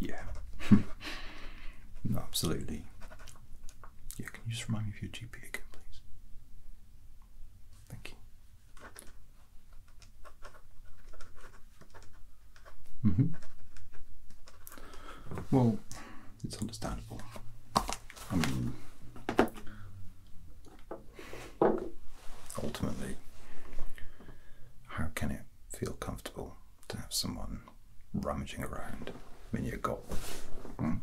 Yeah. absolutely. Yeah, can you just remind me of your GPA again, please? Thank you. Mm-hmm. Well, it's understandable. I mean, Ultimately, how can it feel comfortable to have someone rummaging around when you're gone? Hmm?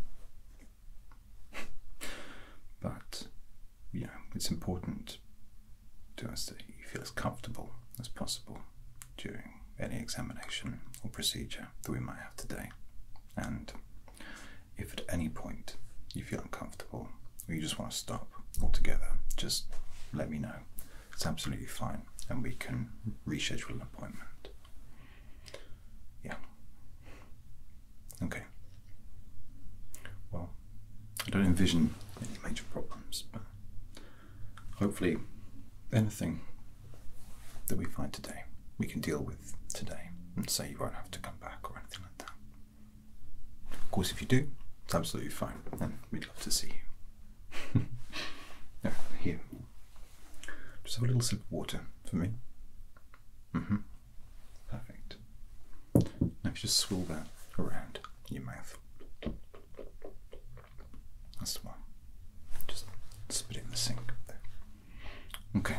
but, you know, it's important to us that you feel as comfortable as possible during any examination or procedure that we might have today. And if at any point you feel uncomfortable or you just want to stop altogether, just let me know. It's absolutely fine, and we can reschedule an appointment. Yeah. Okay. Well, I don't envision any major problems, but hopefully, anything that we find today, we can deal with today and say you won't have to come back or anything like that. Of course, if you do, it's absolutely fine, and we'd love to see you. here. Just have a little sip of water for me. Mm-hmm. Perfect. Now, if you just swirl that around your mouth. That's the one. Just spit it in the sink. Okay.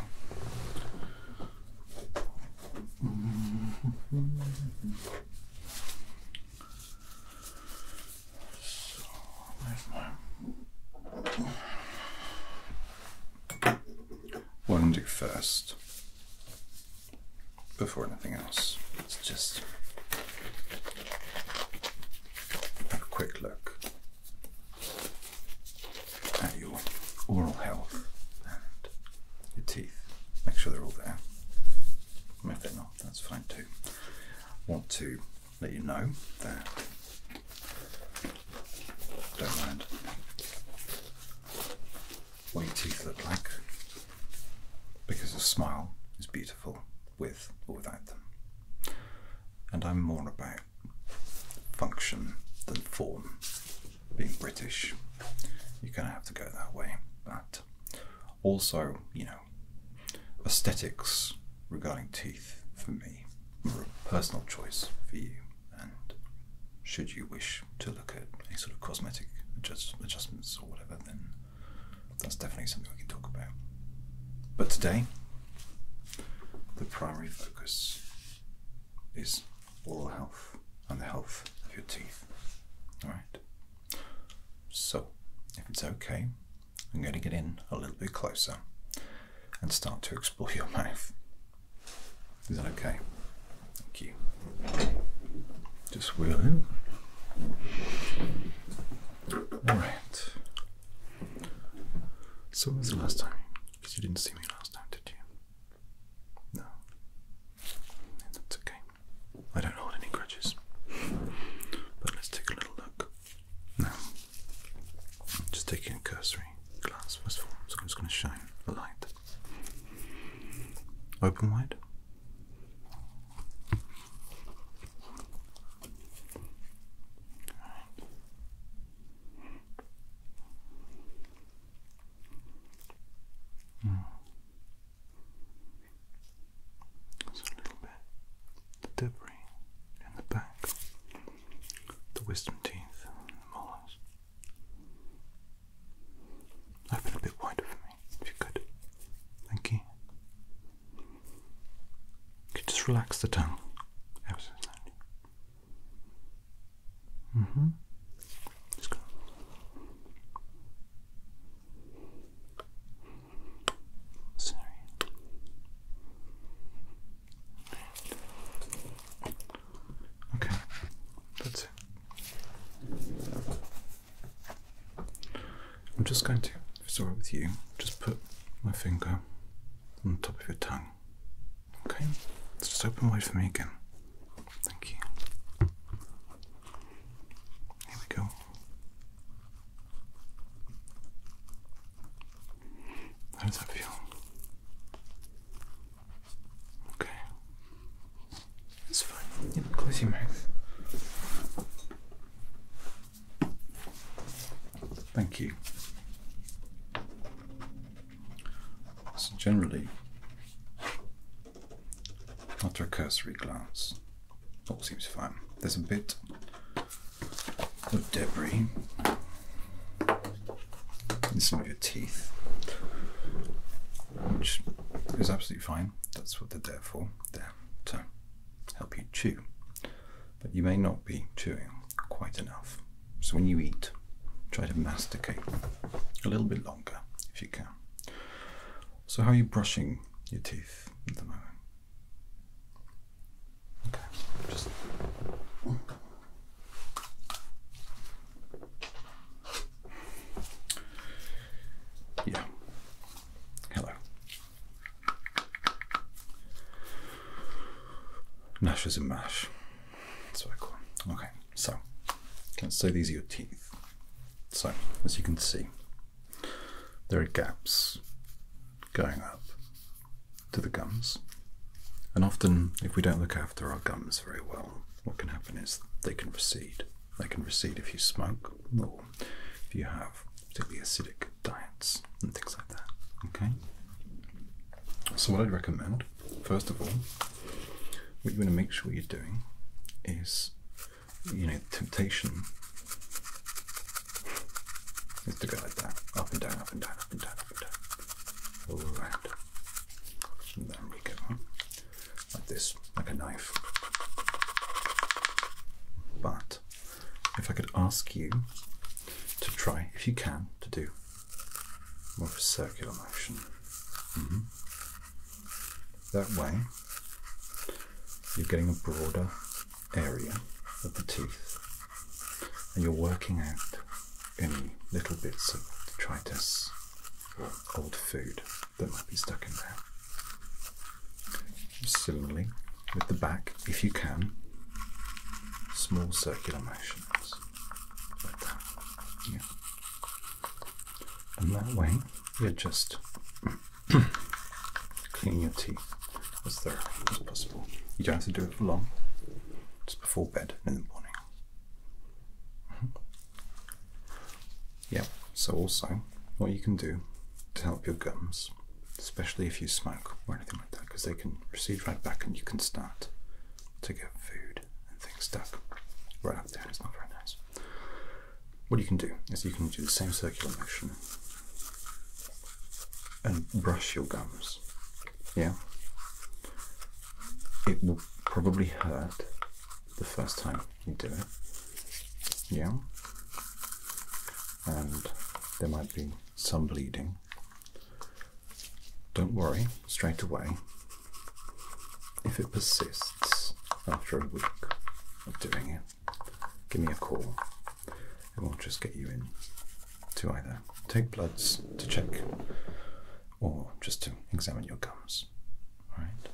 So, What I'm do first, before anything else, let's just have a quick look your oral health and your teeth. Make sure they're all there. And if they're not, that's fine too. Want to let you know that don't mind what your teeth look like because a smile is beautiful with or without them. And I'm more about function than form being British, you kind of have to go that way. But also, you know, aesthetics regarding teeth for me were a personal choice for you. And should you wish to look at a sort of cosmetic adjust adjustments or whatever, then that's definitely something we can talk about. But today, the primary focus is oral health and the health of your teeth. Alright? So, if it's okay, I'm going to get in a little bit closer and start to explore your mouth. Is that okay? Thank you. Just wheel in. Alright. So, when was the last time? Because you didn't see me last time, did you? No. That's okay. I don't hold any grudges. But let's take a little look. Now, just taking a cursory glance first of all. So I'm just going to shine the light. Open wide. Mm. a little bit the debris in the back, the wisdom teeth, the molars. Open a bit wider for me, if you could. Thank you. You just relax the tongue Mm hmm. Just go. Sorry. Okay, that's it. I'm just going to, sorry, with you, just put my finger on the top of your tongue. Okay? just open wide for me again. Thank you. Here we go. How does that feel? Okay. It's fine. Yep, close your mouth. Thank you. So generally, after a cursory glance, all seems fine. There's a bit of debris in some of your teeth, which is absolutely fine. That's what they're there for. There to help you chew. But you may not be chewing quite enough. So when you eat, try to masticate a little bit longer if you can. So, how are you brushing your teeth at the moment? Okay, just. Yeah. Hello. Nash is a mash. That's what I call Okay, so can us say these are your teeth. So, as you can see, there are gaps going up to the gums, and often, if we don't look after our gums very well, what can happen is they can recede. They can recede if you smoke or if you have particularly acidic diets and things like that. Okay, so what I'd recommend first of all, what you want to make sure you're doing is, you know, temptation is to go like that, up and down, up and down, up and down, up and down, all And then we go on, like this, like a knife. But if I could ask you to try, if you can, to do more of a circular motion. Mm-hmm. That way, you're getting a broader area of the teeth and you're working out any little bits of detritus or old food that might be stuck in there. Similarly, with the back, if you can, small circular motions like that. Yeah. And that way, you just clean your teeth as thoroughly as possible. You don't have to do it for long, just before bed and in the morning. Mm-hmm. Yep, so also, what you can do to help your gums, especially if you smoke or anything like that, because they can recede right back and you can start to get food and things stuck right up there, it's not very nice. What you can do is you can do the same circular motion and brush your gums. Yeah? It will probably hurt the first time you do it. Yeah? And there might be some bleeding. Don't worry, straight away if it persists after a week of doing it, give me a call and we'll just get you in to either take bloods to check or just to examine your gums. Alright?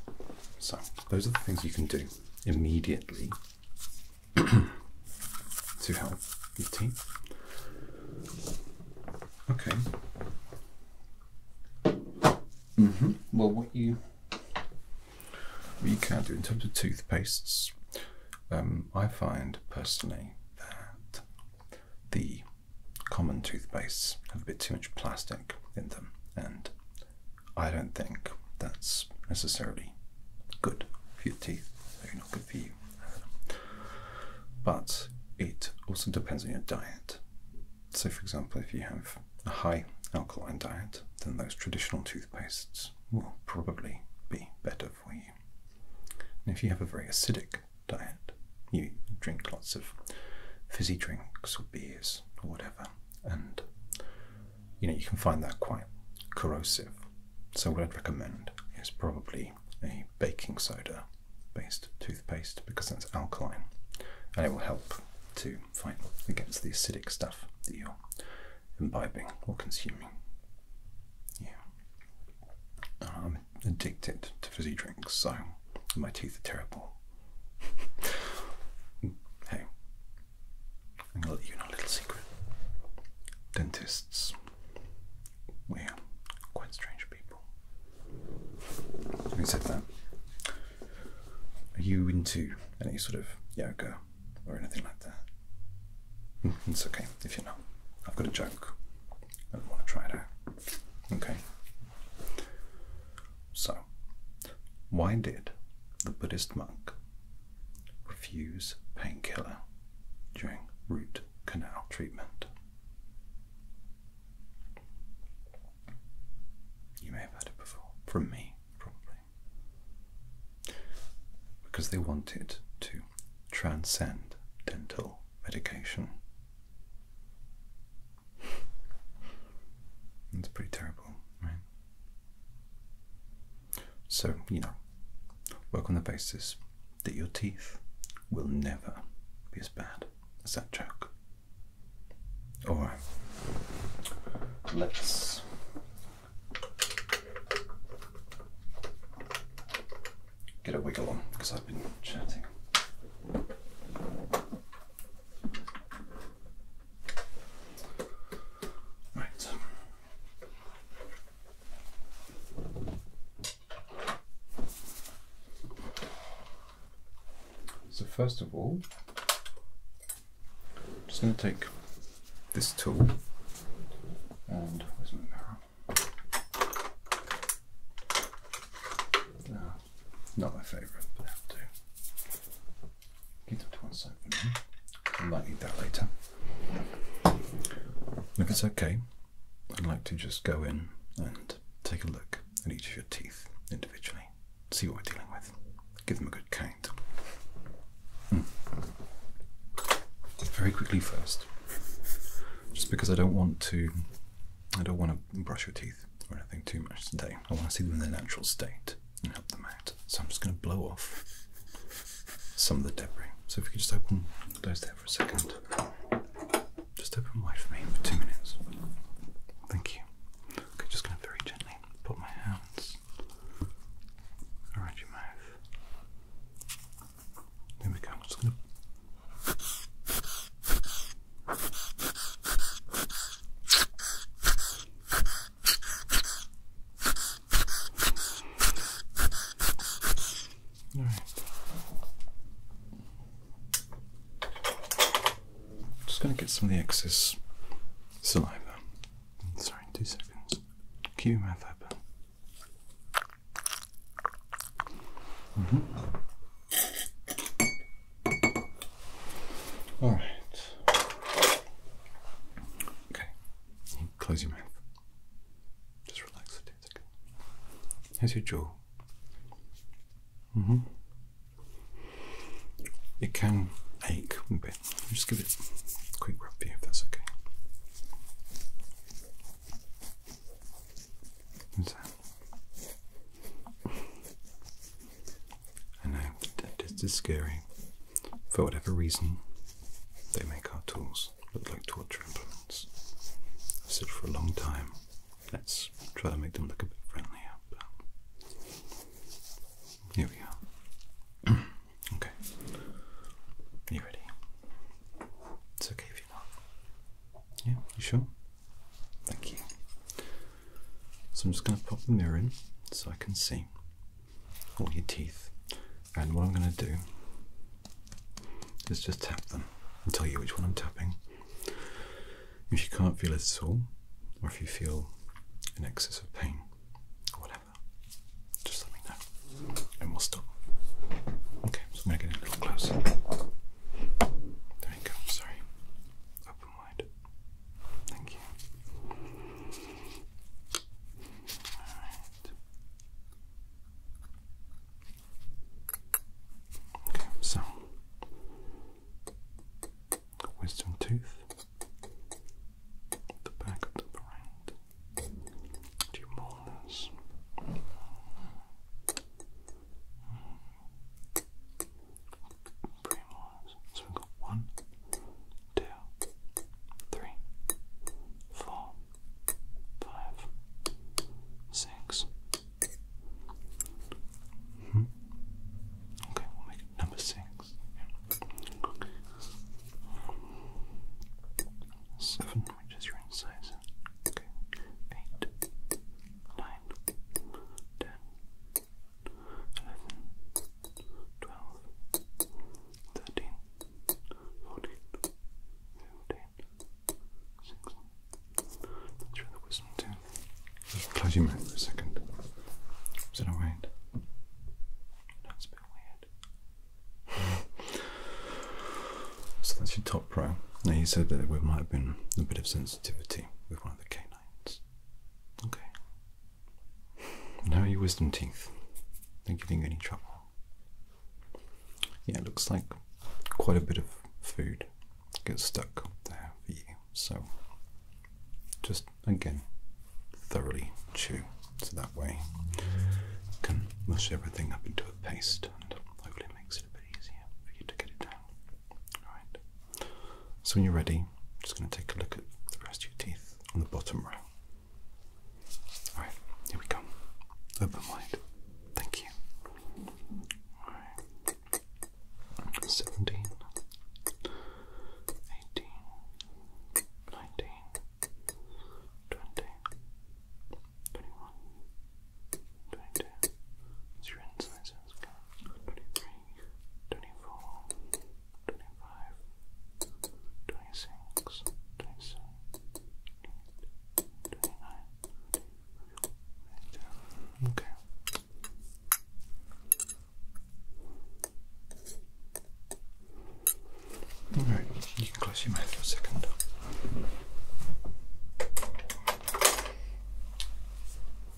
So, those are the things you can do immediately to help your teeth. Okay. Mm-hmm. Well, what you what you can do in terms of toothpastes, um, I find personally that the common toothpastes have a bit too much plastic in them, and I don't think that's necessarily good for your teeth. Maybe not good for you, but it also depends on your diet. So, for example, if you have a high alkaline diet, then those traditional toothpastes will probably be better for you. And if you have a very acidic diet, you drink lots of fizzy drinks or beers or whatever, and you know you can find that quite corrosive. So, what I'd recommend is probably a baking soda based toothpaste because that's alkaline and it will help to fight against the acidic stuff that you're imbibing or consuming. Yeah. I'm addicted to fizzy drinks, so my teeth are terrible. hey, I'm let you in a little secret. Dentists, we're quite strange people. Having said that, are you into any sort of yoga or anything like that? it's okay if you're not. I've got a joke. I want to try it out. Okay. So, why did the Buddhist monk refuse painkiller during root canal treatment? You may have heard it before, from me, probably. Because they wanted to transcend dental medication. It's pretty terrible, right? So, you know, work on the basis that your teeth will never be as bad as that joke. All right. Let's. Get a wiggle on because I've been chatting. Right. So first of all, I'm just going to take this tool and where's my mirror? Ah, not my favourite, but I have to. Give that to one side for now. I might need that later. If it's okay, I'd like to just go in and take a look at each of your teeth individually see what we're dealing with. Give them a good count. Hmm. Very quickly first, just because I don't want to, I don't want to brush your teeth or anything too much today. I want to see them in their natural state and help them out. So I'm just going to blow off some of the debris. So if you could just open those there for a second, just open wide for me for two minutes. Thank you. Okay, just going to very gently put my hands around your mouth. There we go. I'm just going to. All right. Just going to get some of the excess saliva. Sorry, two seconds. Keep your mouth open. All right. Okay. close your mouth. Just relax two seconds. How's your jaw? Mm hmm it can ache a bit. just give it a quick rub here if that's okay. What's I know, this scary. For whatever reason, they make our tools look like torture implements. I've said for a long time Let's try to make them look a bit friendly. here we go. okay. you ready? It's okay if you're not. Yeah, you sure? Thank you. So I'm just going to pop the mirror in so I can see all your teeth. And what I'm going to do is just tap them and tell you which one I'm tapping. If you can't feel it at all, or if you feel an excess of pain, or whatever, just let me know and we'll stop. Okay, I'm going to get a little closer. There you go, sorry. Open wide. Thank you. Okay, so wisdom tooth, the back of the brain, your molars, premolars. So we've got one, two, three, four, five, six. Mm-hmm. Okay, we'll make number six. Seven, which your incisor. Eight, nine, ten, eleven, twelve, thirteen, fourteen, fifteen, sixteen. That's the wisdom tooth close your mouth for a second. Is that alright? That's a bit weird. so that's your top row. Now you said that there might have been a bit of sensitivity with one of the canines. Okay. Now your wisdom teeth. not giving any trouble? Yeah, looks like quite a bit of food gets stuck there for you. So just again thoroughly chew so that way you can mush everything up into a paste and hopefully it makes it a bit easier for you to get it down. Alright. So when you're ready, I'm just gonna take a look at the rest of your teeth on the bottom row. Alright, here we go. Open wide. Thank you seventeen, eighteen, nineteen, twenty, twenty-one, twenty-two. Your insides twenty-three, twenty-four, twenty-five, twenty-six, twenty-seven, twenty-eight, twenty-nine. Okay. All right, you can close your mouth for a second.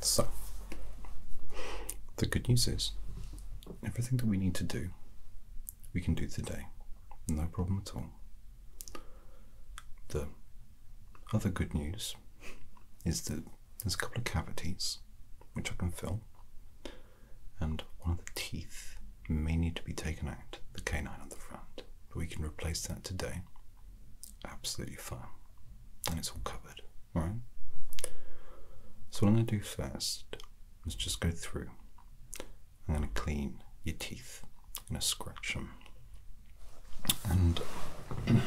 So, the good news is everything that we need to do, we can do today. No problem at all. The other good news is that there's a couple of cavities which I can fill, and one of the teeth may need to be taken out, the canine on the front, but we can replace that today. Absolutely fine, and it's all covered, alright? So, what I'm going to do first is just go through. I'm going to clean your teeth, i going to scratch them, and.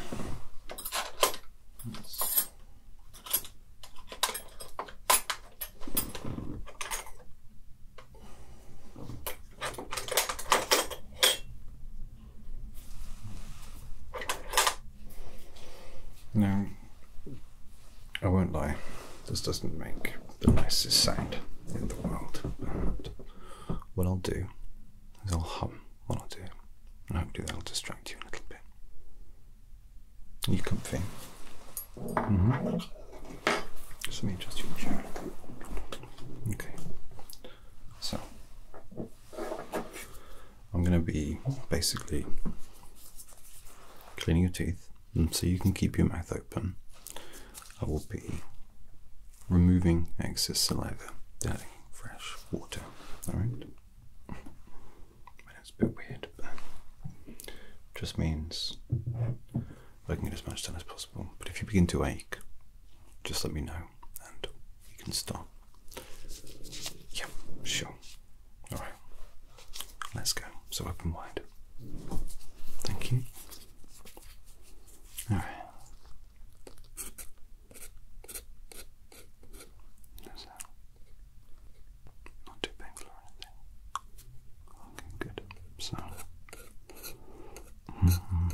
No, I won't lie, this doesn't make the nicest sound in the world. But what I'll do is I'll hum what I'll do, and hopefully that'll distract you a little bit. You can think. Mm-hmm. Just let me adjust your chair. Okay. So, I'm going to be basically cleaning your teeth, and so you can keep your mouth open. I will be removing excess saliva, adding fresh water. All right it's a bit weird, but it just means I can get as much done as possible. But if you begin to ache, just let me know and you can stop. Yeah, sure. Alright, let's go. So open wide. Thank you. Alright. No sound. Not too painful or anything. Okay, good. So. Mm -hmm.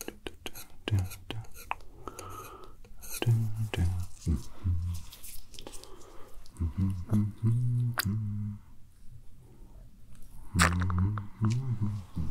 do, do, do, do. Do, do. Mm -hmm. Mm -hmm, mm -hmm, mm -hmm. Mm -hmm, mm -hmm, mm -hmm.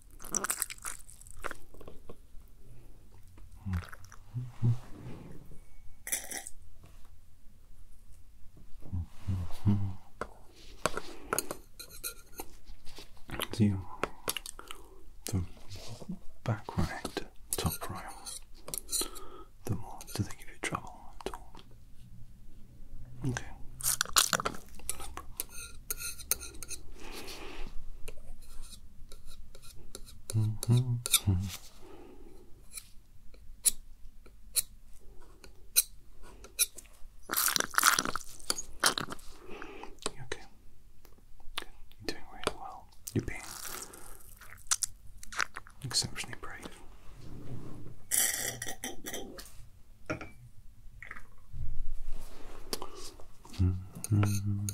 the, the top right, the more do they give you trouble Okay okay? Good. You're doing really well. You're being exceptionally brave. There's one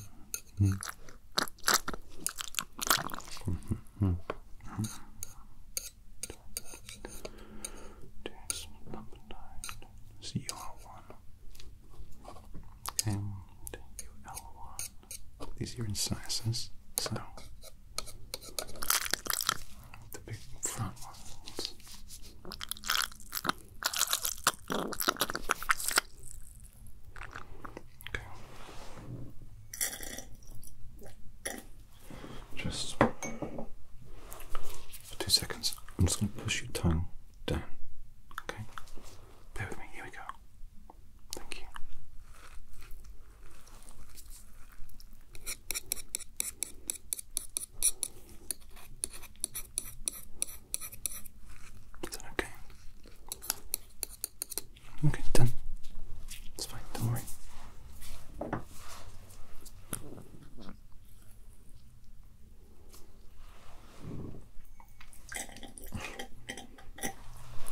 And UL1. These are incisors, so the big front ones. Just for two seconds. I'm just going to push your tongue down. Okay? Bear with me. Here we go. Thank you. Is that okay? Okay, done. It's fine, don't worry.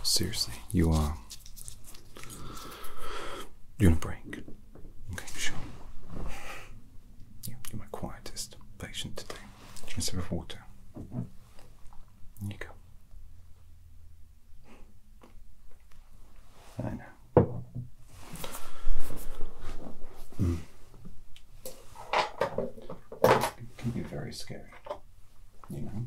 Seriously, you are. Uh, you want a break? Okay, sure. you're my quietest patient today a instead of water. There you go. I know. It can be very scary, you know.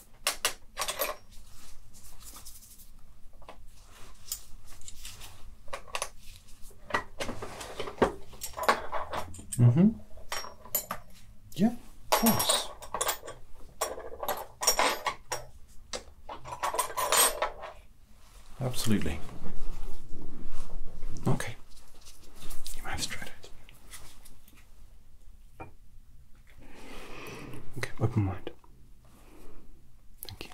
Mm-hmm. Yeah, of course. Absolutely. Okay. You might have it. Okay, open mind. Thank you.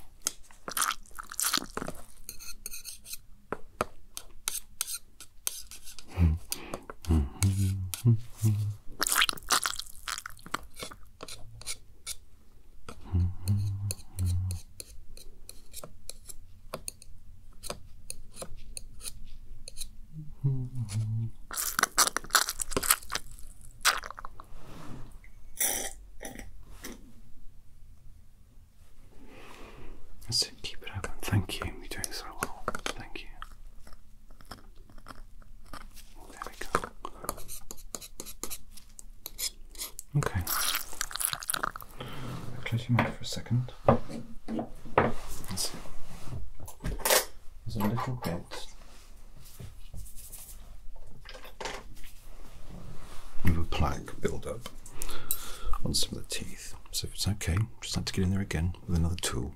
That's keep it open. Thank you, you're doing so well. Thank you. There we go. Okay. Close your mouth for a second. That's it. There's a little bit. Of a plaque buildup on some of the teeth. So if it's okay, just like to get in there again with another tool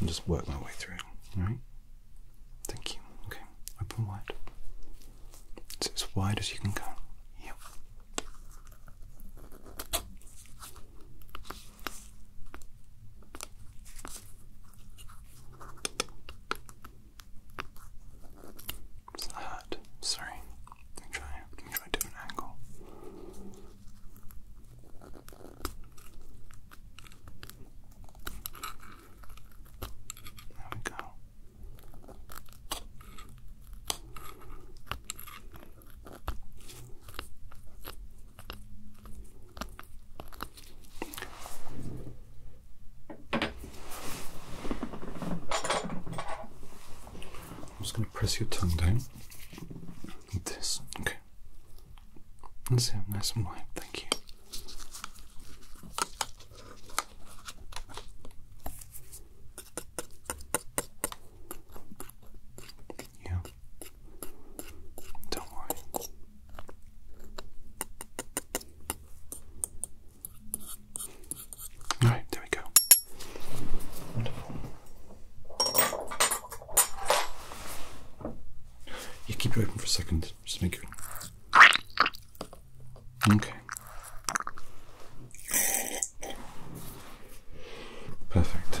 and just work my way through. Alright? Thank you. Okay, open wide. It's as wide as you can go. Yep. It's not hot. Sorry. try. try different angle. There we go. I'm just going to press your tongue down like this. Okay. That's it. Nice and wide. Thank you. Yeah. Don't worry. Alright, there we go. Wonderful. You keep it open for a second, just make it. Okay. Perfect.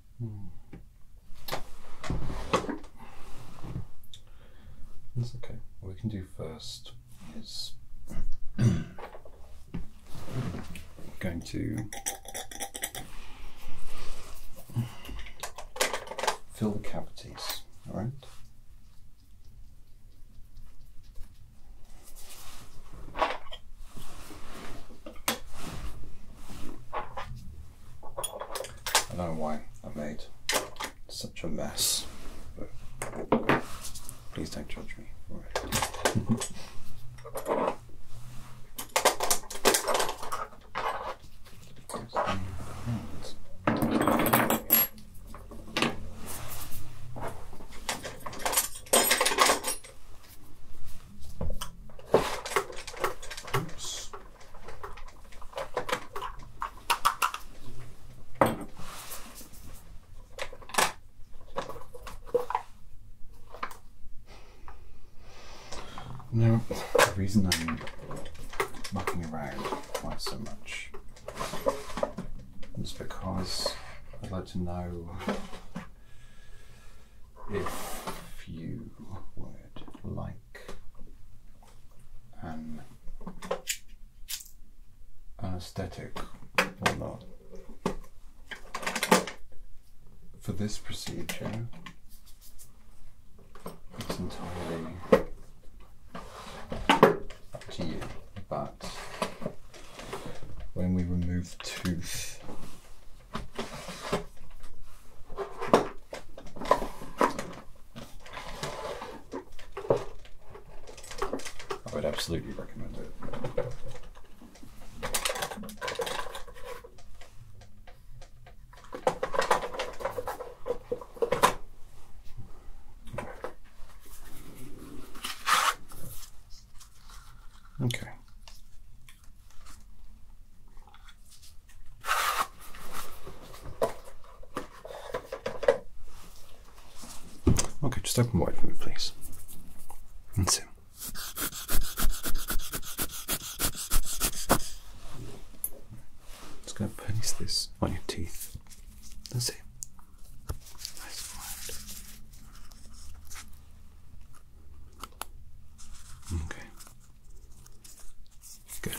Hmm. That's okay. What we can do first is going to fill the cavities, all right? I don't know why I made such a mess, but please don't judge me Oops. Now, the reason I'm mucking around quite so much is because I'd like to know if you would like an anesthetic or not. For this procedure, it's entirely up to you, but when we remove tooth I would absolutely recommend it. Okay. Okay, just open wide for me, please. let That's it. Just going to place this on your teeth. That's it. Nice and Okay. Good.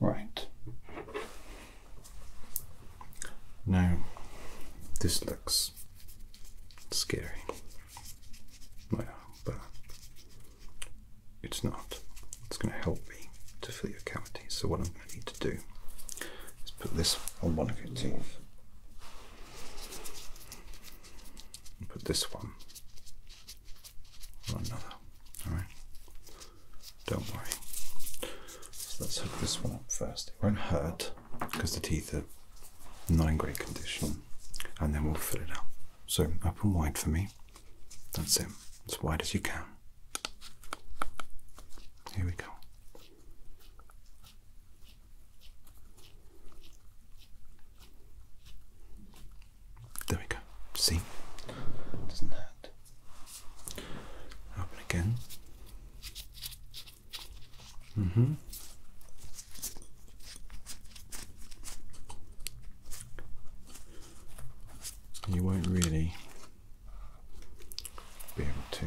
Right. Now, this looks scary. Well, but it's not. It's going to help me to fill your cavity. So, what I'm going to need to do is put this on one of your teeth. Put this one on another. Alright? Don't worry. So let's hook this one up first. It won't hurt because the teeth are not in great condition. And then we'll fill it out. So open wide for me. That's it. As wide as you can. Here we go. There we go. See? Doesn't hurt. Open again. Mm-hmm. You won't really be able to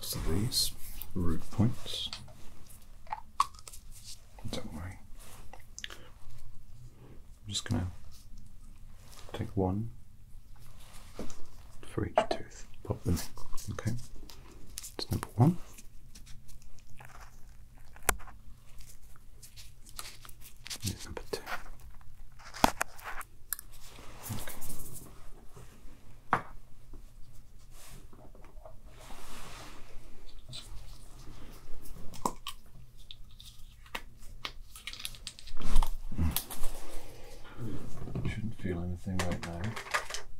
So these root points, don't worry, I'm just going to take one for each tooth, pop them in, okay? It's number one. Here's number two. Hmm. Shouldn't feel anything right now.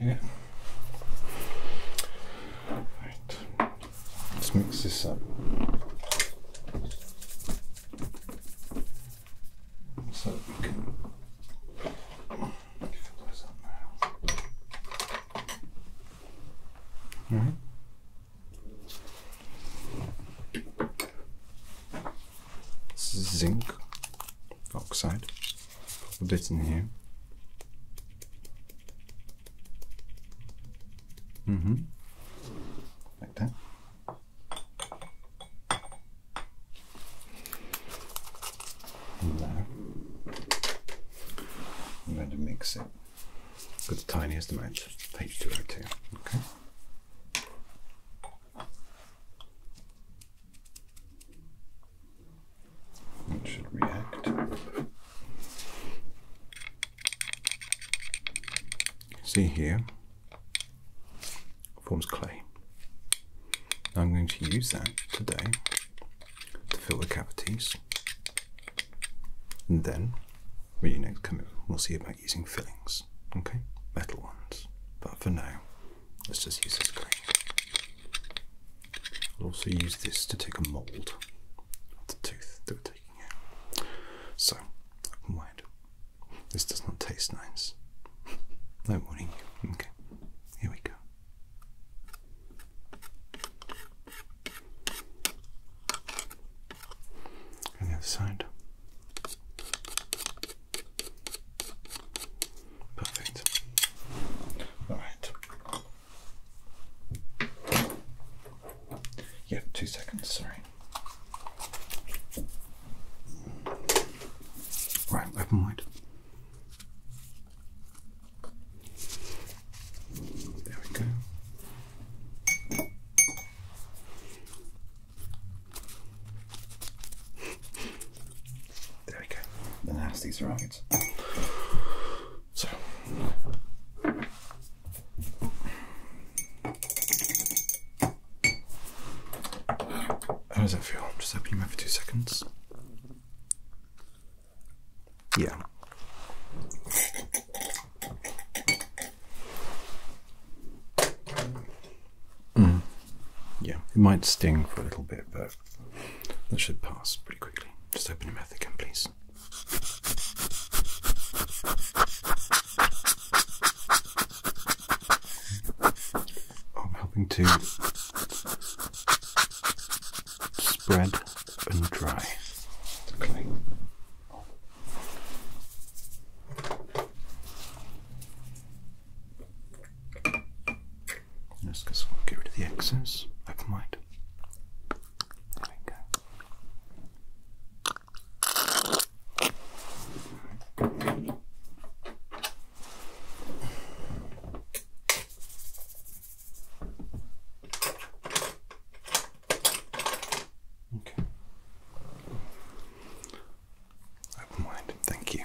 Yeah. Right. Let's mix this up. So we can All right. zinc oxide. Put it in here. Mm-hmm. Like that. And now I'm going to mix it with the tiniest amount of H2O2. Okay. It should react. See here, forms clay. I'm going to use that today to fill the cavities. And then, when you next come in, we'll see about using fillings, okay? Metal ones. But for now, let's just use this clay. I'll also use this to take a mould of the tooth that we're taking out. So, wide. This does not taste nice. no warning Okay, here we go. And the other side. Perfect. Alright. Yeah, two seconds, sorry. Right, open wide. There we go. There we go. The how's these right? So. How does it feel? Just open your mouth for two seconds. Yeah. Mm. Yeah, it might sting for a little bit, but that should pass pretty quickly. Just open your mouth again, please. I'm helping to spread and dry the clay. Just get rid of the excess, I mind. Open mind, thank you.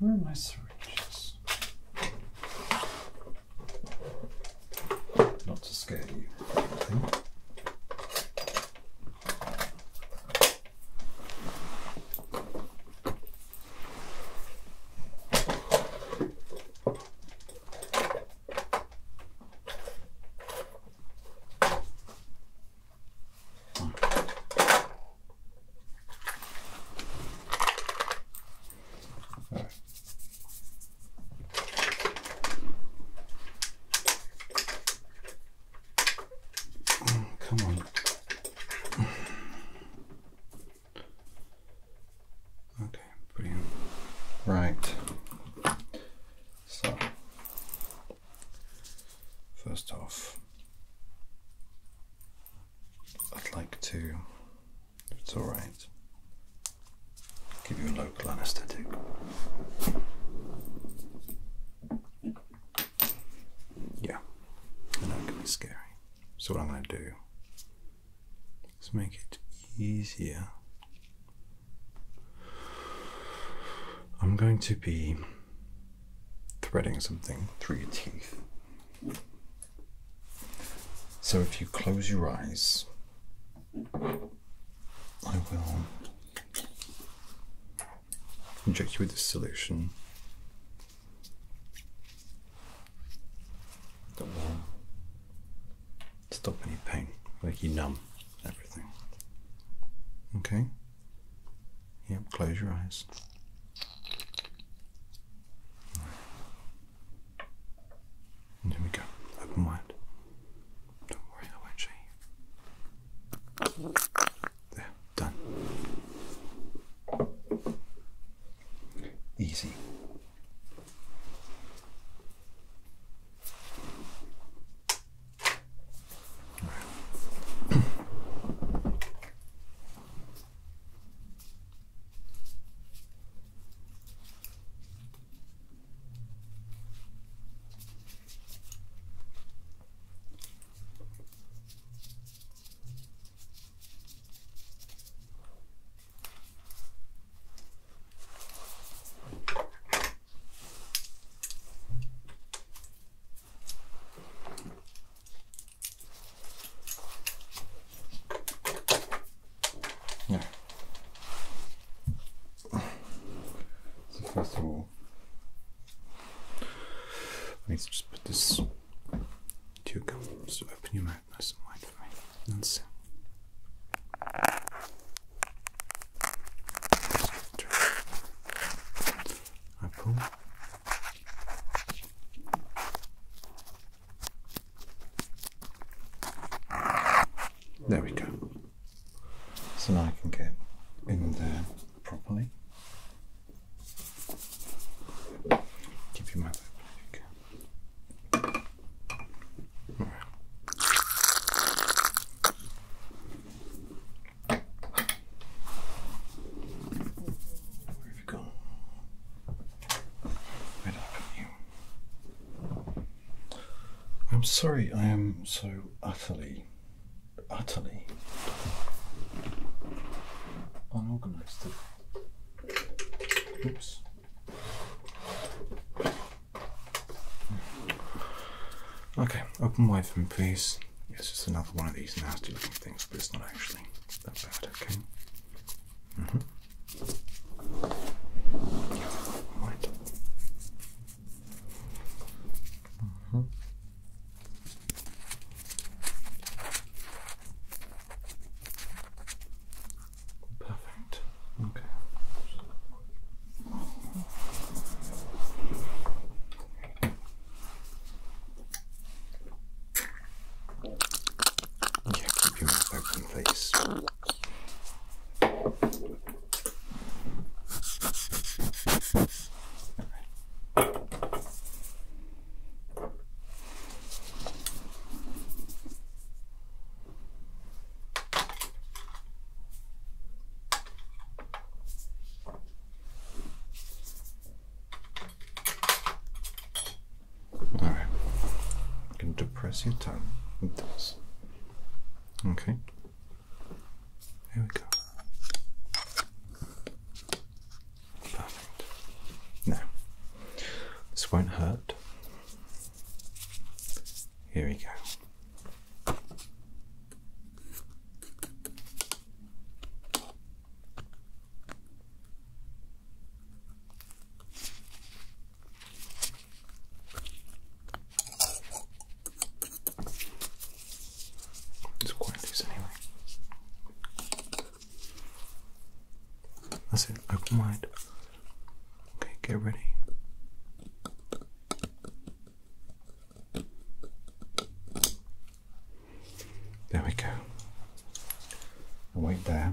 Where are my syringes? Not to scare you, Oh, come on. Okay, Right. So, first off, I'd like to, if it's alright, give you a local anesthetic. Yeah, I know be scary. So, what I'm going to do is make it easier. I'm going to be threading something through your teeth. So, if you close your eyes, I will inject you with this solution don't want stop any pain, make you numb everything. Okay? Yep, close your eyes. here we go. Open wide. Don't worry, I won't show you. There. Done. Easy. Yeah. So first of all, I need to just put this Two gums. Open your mouth nice and wide for me. That's There we go. So now I can get in there properly. Keep your mouth open. Where have you gone? Right up you. I'm sorry I am so utterly, utterly unorganized Okay, open wide for me, please. It's just another one of these nasty looking things, but it's not actually that bad, okay? Mm hmm. Right. Mm-hmm. Perfect. Okay. Yeah, keep your open, please. Okay. All right. depress your tongue with this. Okay. Here we go. Perfect. Now, this won't hurt. Here we go. It's quite loose anyway. That's it, open mind. Okay, get ready. There we go. wait there.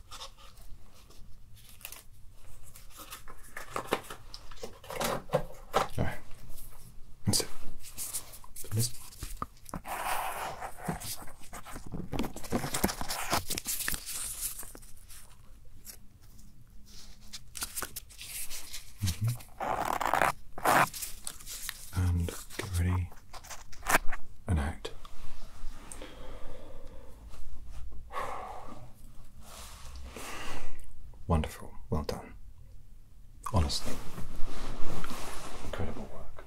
All right, that's it. Just... Mm And get ready and out. Wonderful. Well done. Honestly. Incredible work.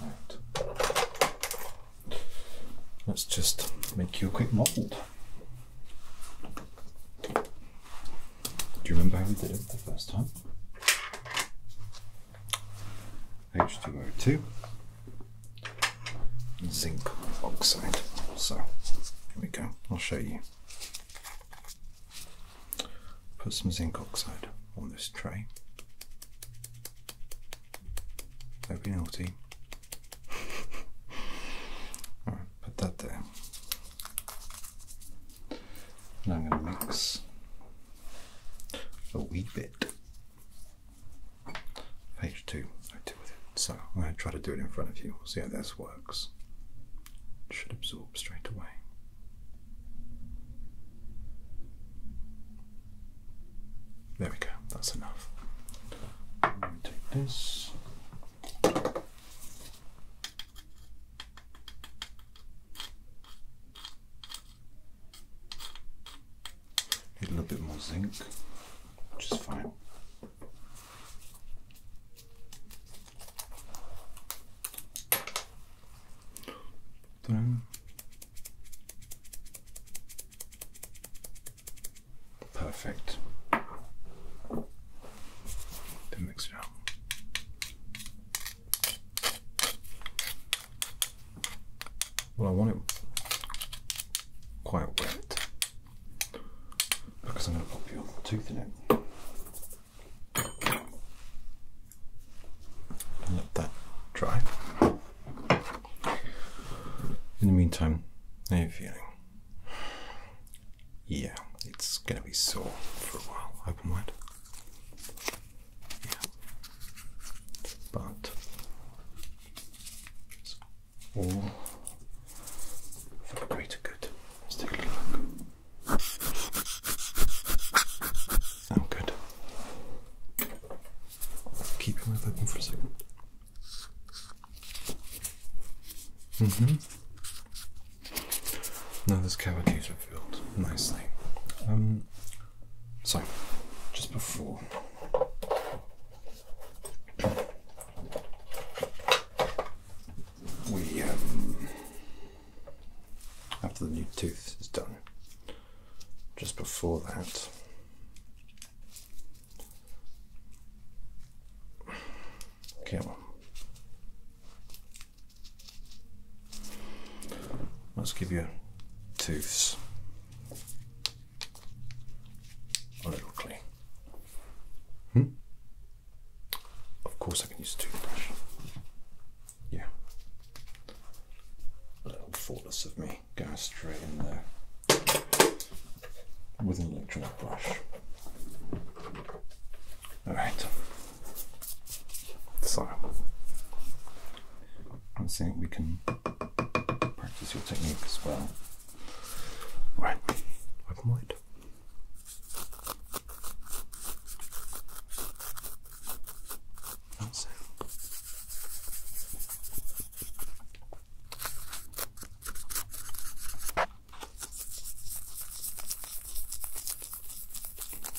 Right. Let's just make you a quick mold. Do you remember how we did it the first time? H2O2 zinc oxide. So here we go, I'll show you. Put some zinc oxide on this tray. Don't be naughty. Alright, put that there. And I'm going to mix a wee bit. Page two, I with it. So I'm going to try to do it in front of you. see how this works. should absorb straight away. There we go, that's enough. I'm take this. Need a little bit more zinc, which is fine. Then Perfect. Then mix well, I want it quite wet because I'm going to pop your tooth in it. And let that dry. In the meantime, how feeling? Yeah, it's going to be sore for a while. Open wide. But it's all for the greater good. Let's take a little look. Oh, good. Keep your mouth open for a second. Mm-hmm. Now those cavities are filled nicely. Um, so, just before. We, um, after the new tooth is done, just before that, okay, Let's give you tooths. A little clean. Hmm? Of course I can use a toothbrush. Yeah. A little thoughtless of me going straight in there with an electronic brush. Alright. So and see if we can practice your technique as well. Right, open That's it.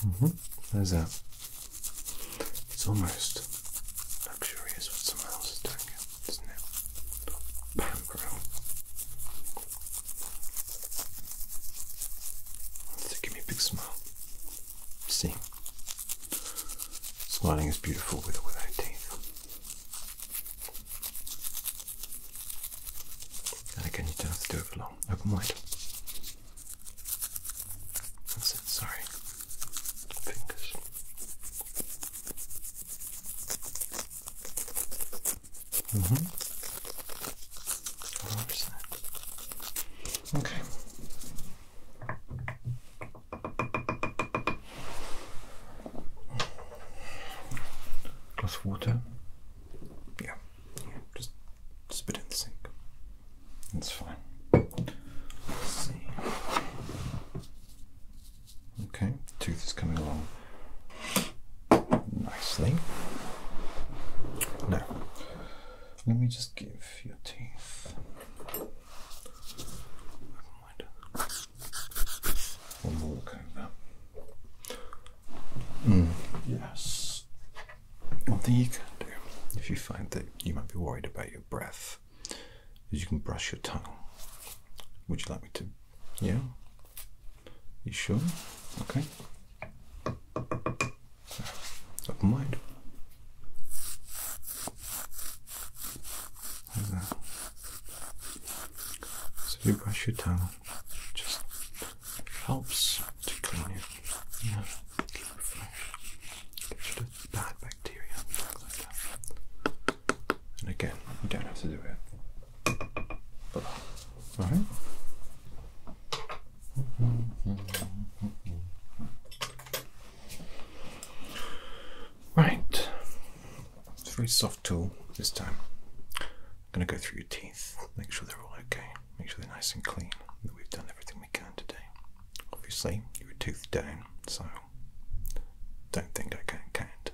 Mm -hmm. There's that. It's almost luxurious what someone else is doing here, isn't it? Background. give me a big smile. See? Smiling is beautiful with or without teeth. And again, you don't have to do it for long. Open wide. That's it, sorry fingers. Mm-hmm. Okay. Glass water. yeah. Just spit in the sink. That's fine. Let's see. Okay, the tooth is coming along nicely. Now, let me just give your teeth. One more look over. Mm. Yes. One thing you can do if you find that you might be worried about your breath is you can brush your tongue. Would you like me to? Yeah? You sure? Okay. Open mind. So you brush your tongue, it just helps to clean it. Yeah, bad bacteria and again, you don't have to do it. But, all right? Right. It's a very soft tool this time. I'm going to go through your teeth, make sure they're all okay, make sure they're nice and clean, that we've done everything can today. Obviously, you are toothed down, so don't think I can't count.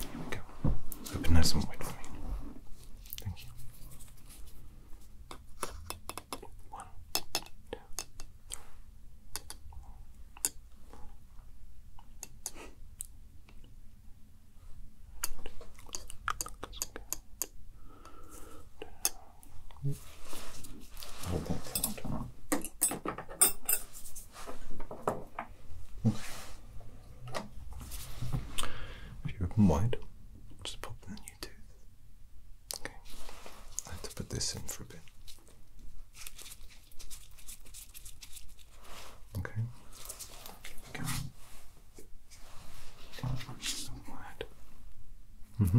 Here we go. Open this and wait for me. Thank you. One, two, three. If you open wide, just pop in the new tooth. Okay. I have to put this in for a bit. Okay. okay. So wide. Mm-hmm.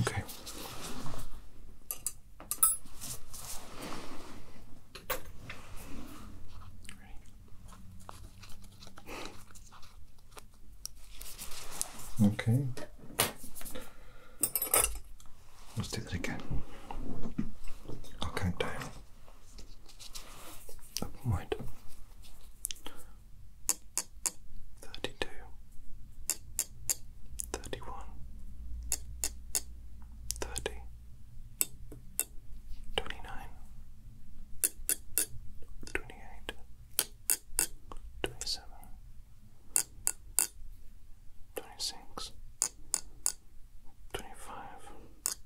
Okay. Okay. Let's do that again. I'll count down a point thirty two, thirty one, thirty, twenty nine, twenty eight, twenty seven, twenty six, twenty five.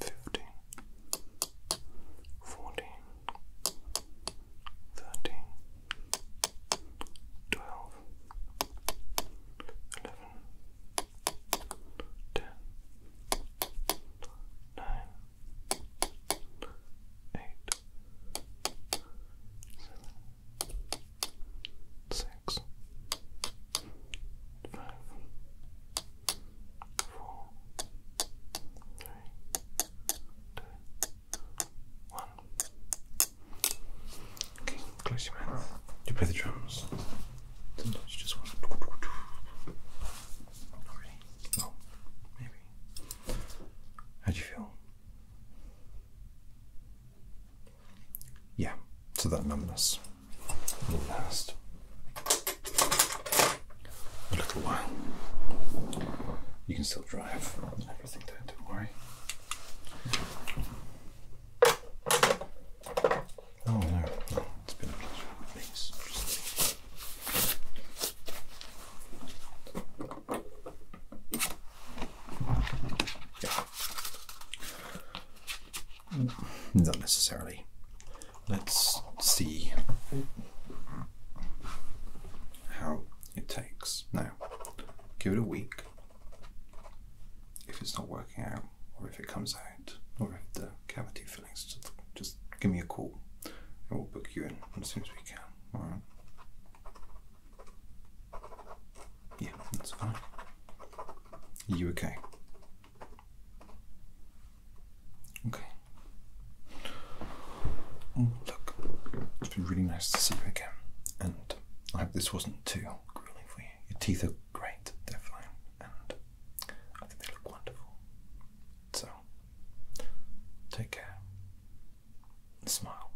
fifteen, fourteen, thirteen, twelve, eleven, ten, nine, eight, seven, six, five four, three, two, one. Okay, close your mouth. You play the drums. Sometimes you just want Not really. Well, maybe. How do you feel? Yeah, to that numbness last a little while. You can still drive everything down, don't worry. Oh no, it's been a pleasure. Thanks. Yeah. Not necessarily. Let's see how it takes. Now, give it a week. If it's not working out, or if it comes out, or if the cavity fillings, just, just give me a call and we'll book you in as soon as we can. Alright? Yeah, that's fine. Are you okay? Okay. Oh, look, it's been really nice to see you again, and I hope this wasn't too grueling for you. Your teeth are great, they're fine, and I think they look wonderful. So, take care. Smile.